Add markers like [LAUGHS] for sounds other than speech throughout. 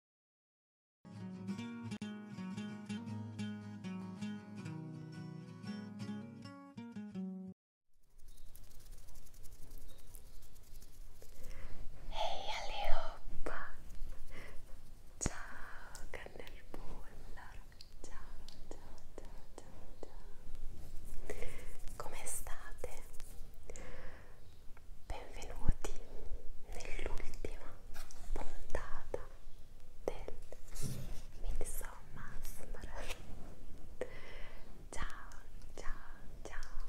Ehi hey, Aleoppa! Ciao Cannelbulla! Ciao, ciao, ciao, ciao, ciao! Come state? Benvenuti nell'ultima puntata del Midsommar. Ciao, ciao, ciao.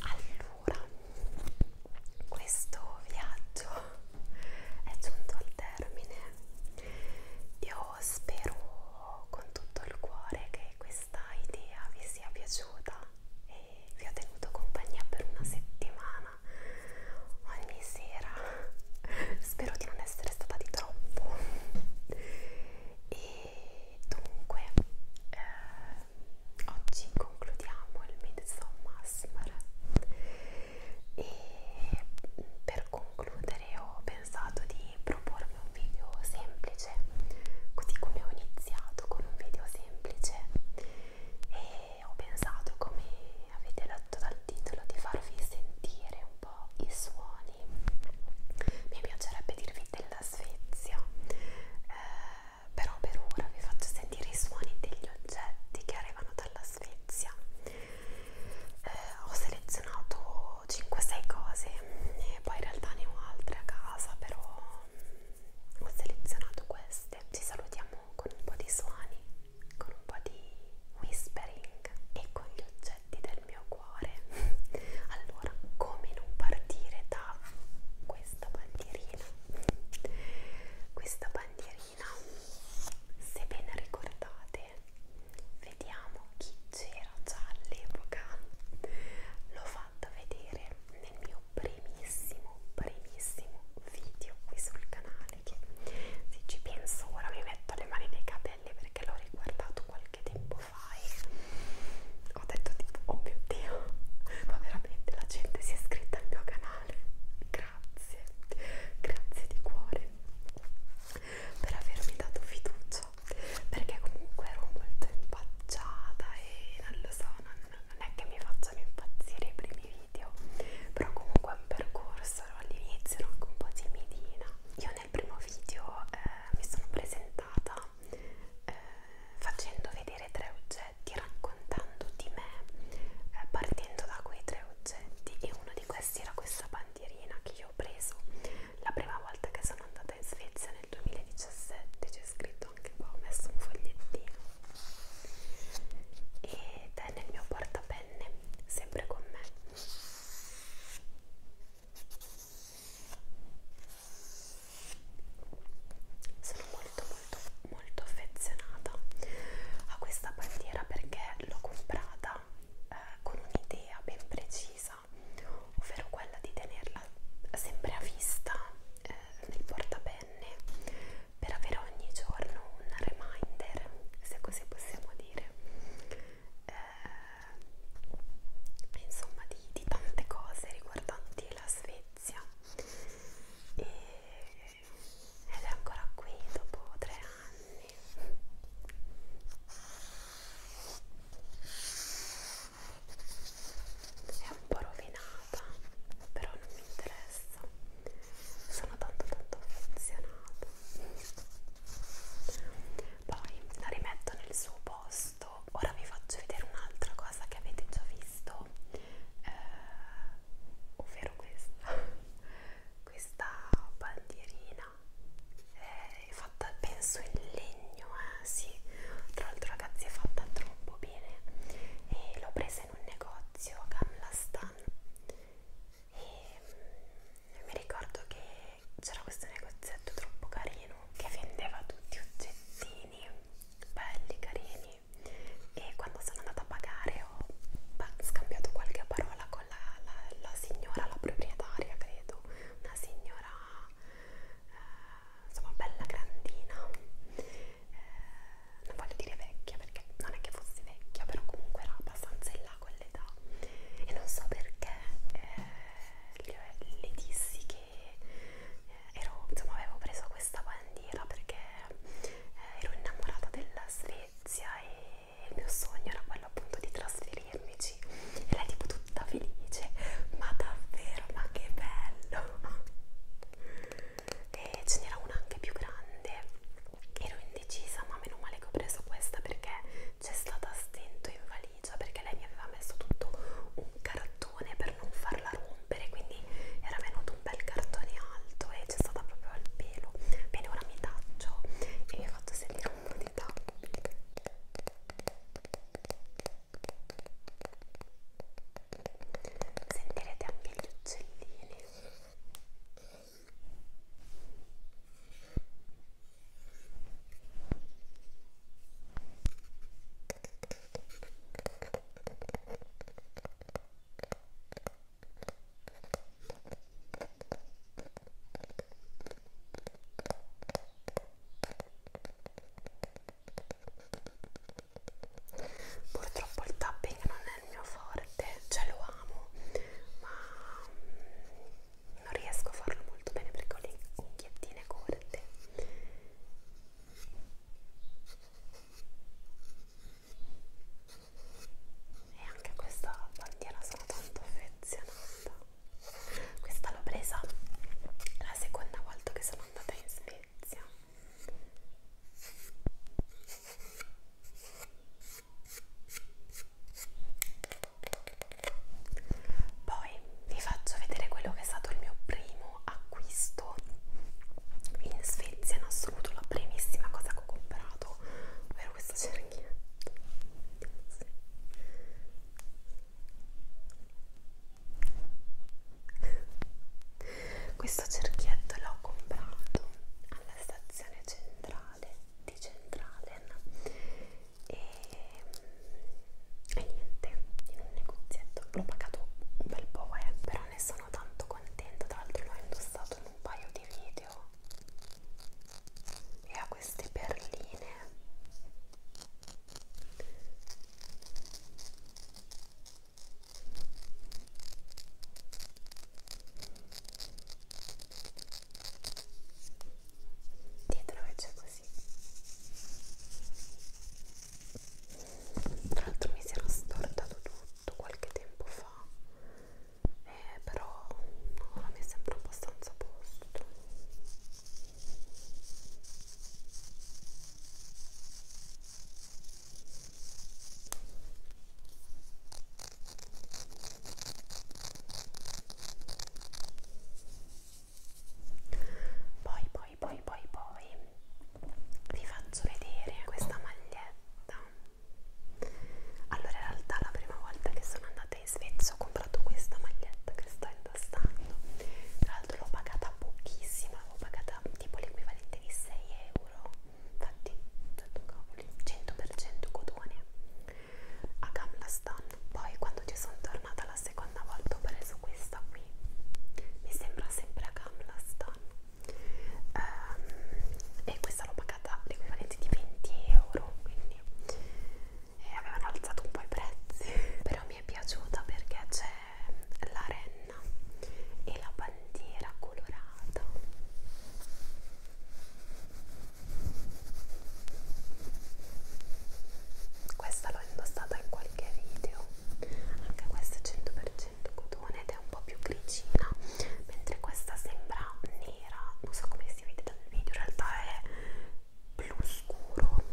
Allora, questo viaggio è giunto al termine. Io spero con tutto il cuore che questa idea vi sia piaciuta e vi ho tenuto compagnia per una settimana ogni sera spero di non essere stata di troppo e dunque eh, oggi concludiamo il Midsommar e per concludere ho pensato di proporvi un video semplice così come ho iniziato con un video semplice semplice e ho pensato, come avete letto dal titolo, di farvi sentire un po' i suoni. Mi piacerebbe dirvi della Svezia, eh, però per ora vi faccio sentire i suoni degli oggetti che arrivano dalla Svezia. Eh, ho selezionato 5-6 cose e poi in realtà ne ho altre a casa, però ho selezionato queste ci salutiamo con un po' di suoni con un po' di whispering e con gli oggetti del mio cuore [LAUGHS] allora come non partire da questa bandierina questa bandierina se ben ricordate vediamo chi c'era già all'epoca l'ho fatto vedere nel mio mio primissimo, primissimo video qui sul canale che se ci penso ora mi metto le mani nei capelli perché l'ho riguardato qualche tempo fa e ho detto tipo oh mio dio ma veramente la gente si è iscritta al mio canale grazie grazie di cuore per avermi dato fiducia perché comunque ero molto impacciata e non lo so non, non è che mi facciano impazzire i primi video, però comunque è un percorso, all'inizio ero anche un po' timidina. Io nel primo video eh, mi sono presentata eh, facendo vedere tre oggetti, raccontando di me, eh, partendo da quei tre oggetti e uno di questi era questa bandierina che io ho preso la prima volta che sono andata in Svezia nel 2017, c'è scritto scritto anche qua, boh, ho messo un fogliettino ed è nel mio portapenne, sempre con me sono molto molto molto affezionata a questa bandiera perché l'ho comprata eh, con un'idea ben precisa ovvero quella di tenerla sempre a vista eh, nel portapenne per avere ogni giorno un reminder, se così possiamo dire, eh, insomma di, di tante cose riguardanti la Svezia e, ed è ancora qui dopo tre anni è un po' rovinata però non mi interessa sono tanto tanto affezionata poi la rimetto nel suo posto ora vi faccio vedere un'altra cosa che avete già visto eh, ovvero questa [LAUGHS] questa bandierina è fatta penso in legno eh sì, tra l'altro ragazzi è fatta troppo bene e l'ho presa in un negozio a Gamla Stan e mm, mi ricordo che c'era questo negozietto troppo carino che vendeva tutti oggettini belli, carini e quando sono andata a pagare ho beh, scambiato qualche parola con la, la, la signora, la proprietaria credo una signora eh, insomma bella grandina eh, non voglio dire vecchia perché non è che fossi vecchia però comunque era abbastanza in là con l'età e non so perché eh, le, le dissi che eh, ero, insomma avevo preso questa bandiera perché eh, ero innamorata della Svezia e il mio sogno era quello appunto di trasferirmici e lei tipo tutta felice ma davvero ma che bello e ce n'era una anche più grande ero indecisa ma meno male che ho preso questa perché c'è stata stento in valigia perché lei mi aveva messo tutto un cartone per non farla rompere quindi era venuto un bel cartone alto e c'è stata proprio al pelo bene ora mi taccio e mi ho fatto sentire un po' di tappo sentirete anche gli uccellini purtroppo il tapping non è il mio forte cioè lo amo ma mm, non riesco a farlo molto bene perché ho le unghiattine corte e anche questa bandiera sono tanto affezionata questa l'ho presa la seconda volta che sono andata in Svezia Svezia poi vi faccio vedere quello che è stato il mio primo acquisto in Svezia in assoluto la primissima cosa che ho comprato ovvero questa cerchietto sì. Questo cerchietto l'ho comprato alla stazione centrale di Centralen e, e niente, in un negozietto l'ho pagato un bel po', eh, però ne sono tanto contenta, tra l'altro l'ho indossato in un paio di video e ha queste perline dietro e c'è così tra l'altro mi si era stortato tutto qualche tempo fa eh, però ora no, mi sembra abbastanza a posto poi, poi, poi, poi, poi vi faccio vedere questa maglietta. Allora, in realtà, la prima volta che sono andata in Svezia ho comprato questa maglietta che sto indossando. Tra l'altro, l'ho pagata pochissima, l'ho pagata tipo l'equivalente di 6 euro infatti 100% cotone a Gamlastan poi quando ci sono tornata la seconda volta ho preso questa qui mi sembra sempre a Gamlastan um, e questa l'ho pagata l'equivalente di 20 euro quindi e avevano alzato un po' i prezzi [LAUGHS] però mi è piaciuta perché c'è la renna e la bandiera colorata questa l'ho indossata in qualche video anche questa è 100% cotone ed è un po' più grigina mentre questa sembra nera non so come si vede dal video in realtà è blu scuro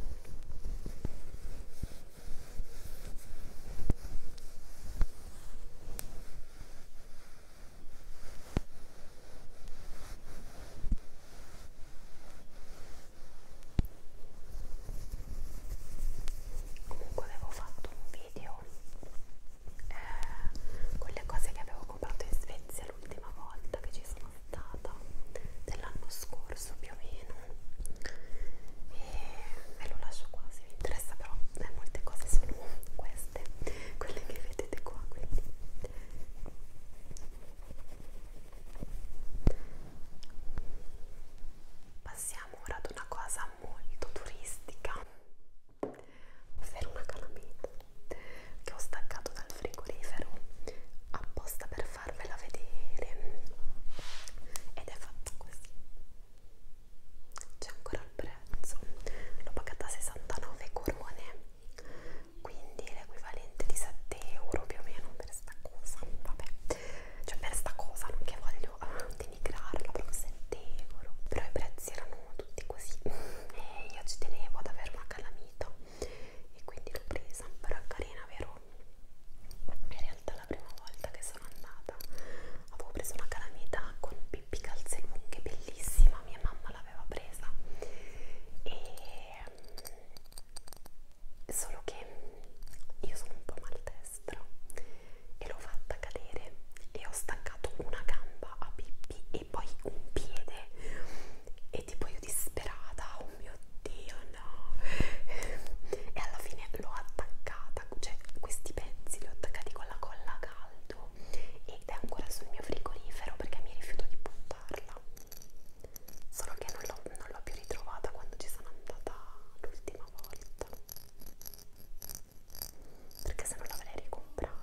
Comunque avevo fatto un video eh, con le cose che avevo comprato in Svezia l'ultima volta che ci sono stata dell'anno scorso più più o meno e ve lo lascio qua se vi interessa però eh, molte cose sono queste quelle che vedete qua quindi passiamo ora ad una cosa molto turistica ovvero una calamita che ho staccato dal frigorifero apposta per farvela vedere ed è fatto così c'è ancora il prezzo l'ho pagata 69 corone quindi l'equivalente di 7 euro più o meno per sta cosa vabbè cioè per sta cosa non che voglio ah, denigrarla proprio 7 euro però i prezzi erano tutti così [LAUGHS] e io ci tenevo ad avere una calamita e quindi l'ho presa però è carina vero in realtà la prima volta che sono andata avevo preso una calamità con pippi calze lunghe bellissima mia mamma l'aveva presa e mm, solo che io sono un po' maldestra e l'ho fatta cadere e ho staccato una gamba a pippi e poi un piede e tipo io disperata oh mio dio no e alla fine l'ho attaccata cioè questi pezzi li ho attaccati con la colla a caldo ed è ancora sul mio frigorifero perché mi rifiuto di buttarla solo che non l'ho più ritrovata quando ci sono andata l'ultima volta perché se no l'avrei ricomprata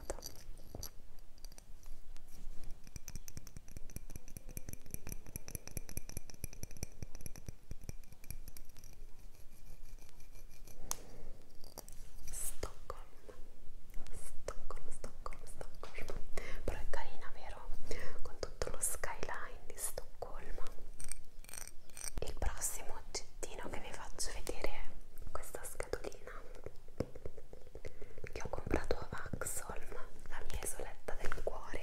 Stockholm, Stockholm, Stockholm, Stockholm. Però è carina, vero? Con tutto lo skyline di Stoccolma. Il prossimo oggettino che vi faccio vedere è questa scatolina che ho comprato a Axholm, la mia isoletta del cuore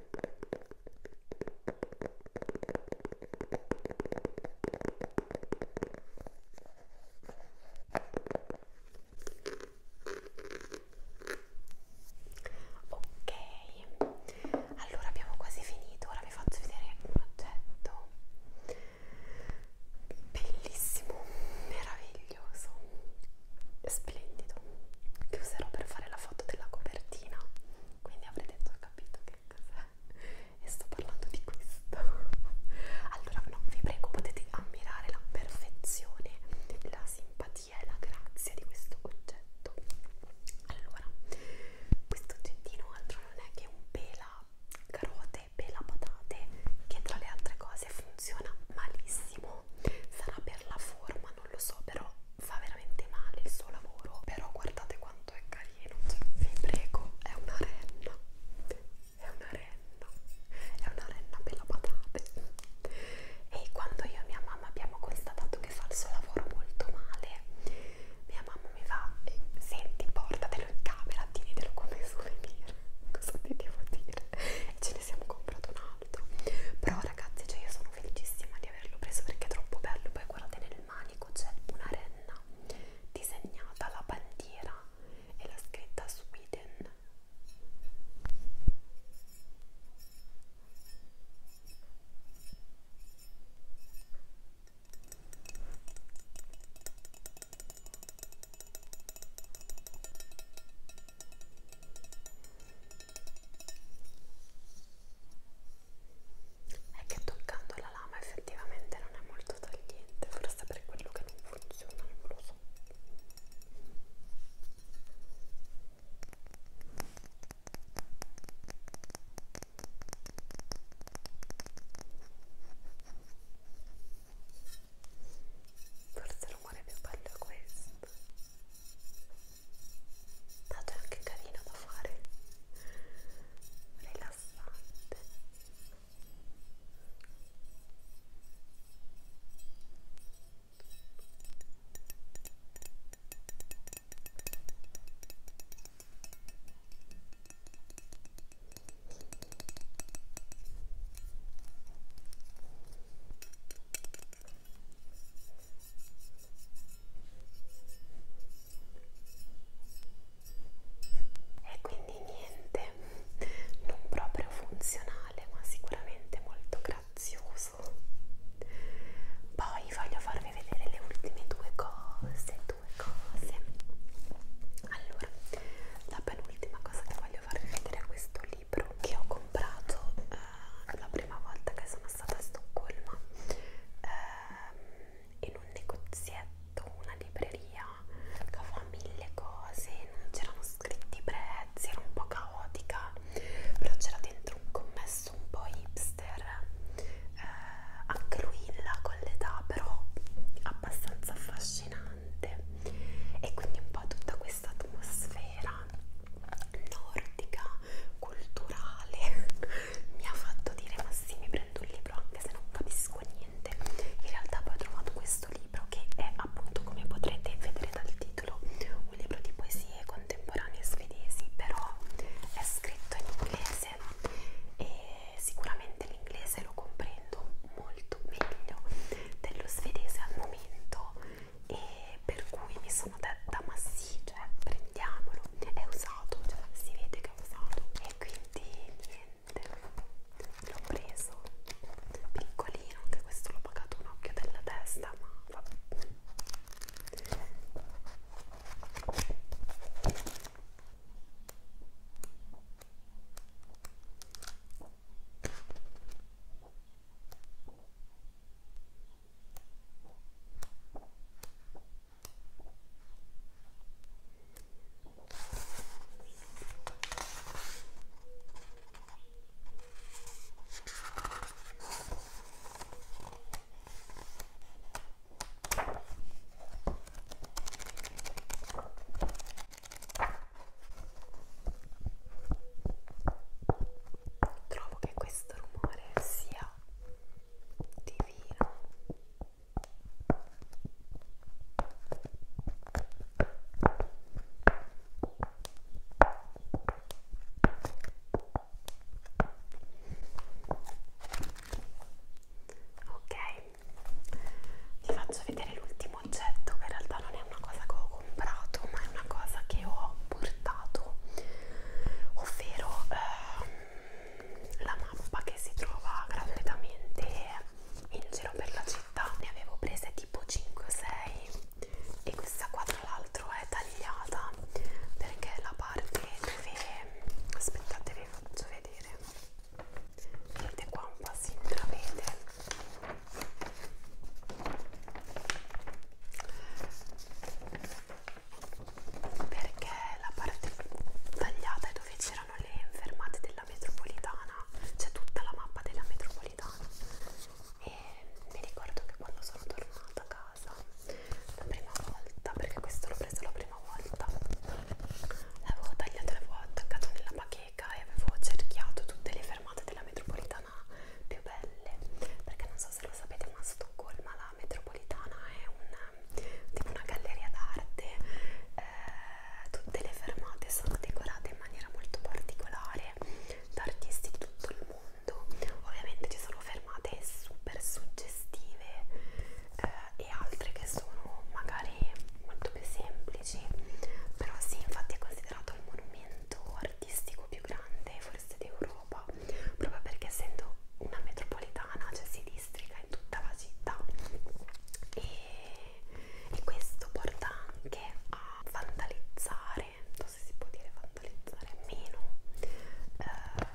Ok, allora abbiamo quasi finito. Ora vi faccio vedere un oggetto bellissimo, meraviglioso, splendido che userò per fare la foto della copertina quindi avrete già capito che cos'è e sto parlando di questo allora non vi prego potete ammirare la perfezione la simpatia e la grazia di questo oggetto allora questo oggettino altro non è che un pela carote pela patate che tra le altre cose funziona malissimo sarà per la forma non lo so però fa veramente male il suo lavoro però guardate quanto è carino cioè, vi prego è una renna è una renna è una renna per la patate e quando io e mia mamma abbiamo constatato che fa il suo lavoro molto male mia mamma mi fa eh, senti portatelo in camera tienitelo come souvenir [LAUGHS] cosa ti devo dire e ce ne siamo comprato un altro però ragazzi cioè io sono felicissima di averlo preso perché è troppo bello poi guardate nel manico c'è una renna disegnata la bandiera e la scritta Sweden è che toccando la lama effettivamente non è molto tagliente forse per quello che non funziona non lo so Forse l'umore più bello è questo dato è anche carino da fare rilassante e quindi niente non proprio funzionale ma sicuramente molto grazioso poi voglio farvi vedere le ultime due cose due cose allora la penultima cosa che voglio farvi vedere è questo libro che ho comprato eh, la prima volta che sono stata a Stoccolma ehm, in un negozietto, una libreria che aveva mille cose, non c'erano scritti i prezzi, era un po' caotica, però c'era dentro un commesso un po' hipster, eh, anche lui in là con l'età, però abbastanza affascinante e quindi un po' tutta questa atmosfera nordica, culturale, [LAUGHS] mi ha fatto dire ma sì mi prendo un libro anche se non capisco niente, in realtà poi ho trovato questo libro che è appunto come potrete vedere dal titolo un libro di poesie contemporanee svedesi però è scritto in inglese e sicuramente l'inglese lo comprendo molto meglio dello svedese al momento e e per cui mi sono detta ma sì, cioè prendiamolo, è usato, cioè si vede che è usato e quindi niente, l'ho preso, piccolino, anche questo l'ho pagato un occhio della testa ma vabbè. Trovo che questo rumore sia divino ok vi faccio vedere l'ultimo oggetto che in realtà non è una cosa che ho comprato ma è una cosa che ho portato ovvero ehm, la mappa che si trova gratuitamente in giro per la città ne avevo prese tipo 5 o 6 e questa qua tra l'altro è tagliata perché la parte dove aspettate vi faccio vedere vedete qua un po' si intravede perché la parte tagliata è dove c'erano le fermate della metropolitana, c'è tutta la mappa della metropolitana e mi ricordo che quando sono tornata a casa la prima volta, perché questo l'ho preso la prima volta, l'avevo tagliato, l'avevo attaccato nella bacheca e avevo cerchiato tutte le fermate della metropolitana più belle perché non so se lo sapete ma a Stoccolma la metropolitana è un, tipo una galleria d'arte, eh, tutte le fermate sono decorate in maniera molto particolare da artisti di tutto il mondo, ovviamente ci sono fermate super suggestive eh, e altre che sono magari molto più semplici, però sì infatti è considerato il monumento artistico più grande forse d'Europa proprio perché essendo una metropolitana cioè si districa in tutta la città e, e questo porta anche a vandalizzare non so se si può dire vandalizzare meno eh,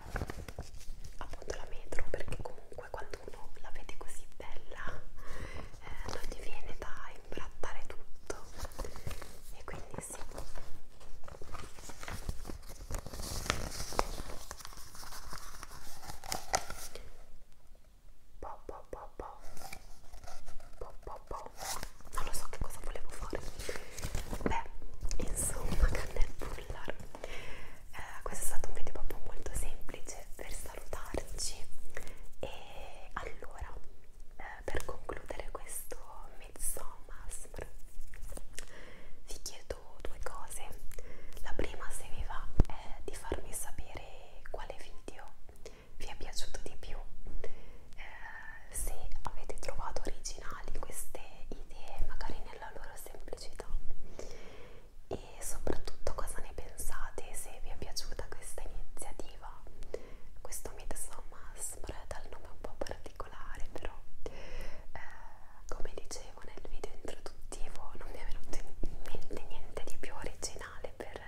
appunto la metro perché comunque quando uno la vede così bella eh, non gli viene da imbrattare tutto e quindi stessi po po po po po po po non lo so che cosa volevo fare beh insomma cannel [LAUGHS] puller eh, questo è stato un video proprio molto semplice per salutarci e allora eh, per concludere questo Midsommar vi chiedo due cose la prima se vi va è di farmi sapere quale video vi è piaciuto di più eh, se avete trovato originali queste idee magari nella loro semplicità e soprattutto cosa ne pensate se vi è piaciuta questa iniziativa questo Midsommar dal nome un po' particolare particolare però eh, come dicevo nel video introduttivo non mi è venuto in mente niente di più originale per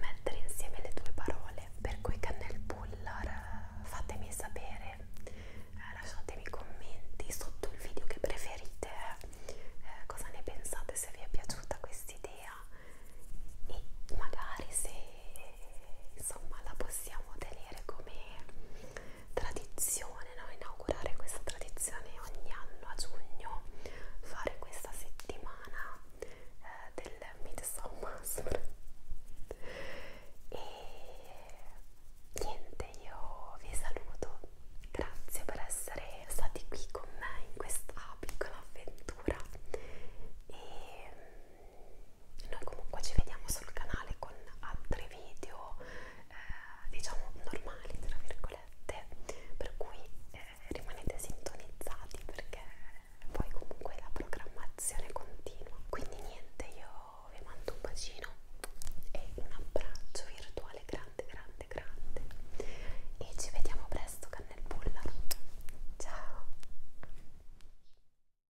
mettere insieme le due parole per cui cannel puller fatemi sapere eh, lasciatemi commenti sotto il video che preferite eh, cosa ne pensate se vi è piaciuta questa idea e magari se insomma la possiamo tenere come tradizione, no? inaugurare questa tradizione ogni anno a giugno, fare questa settimana eh, del Midsommar [LAUGHS] e niente, io vi saluto, grazie per essere stati qui con me in questa piccola avventura e noi comunque ci vediamo sul canale con altri video eh, diciamo normali tra virgolette per cui eh, rimanete sintonizzati perché poi comunque la programmazione continua quindi niente io vi mando un bacino e un abbraccio virtuale grande grande grande e ci vediamo presto cannelpulla ciao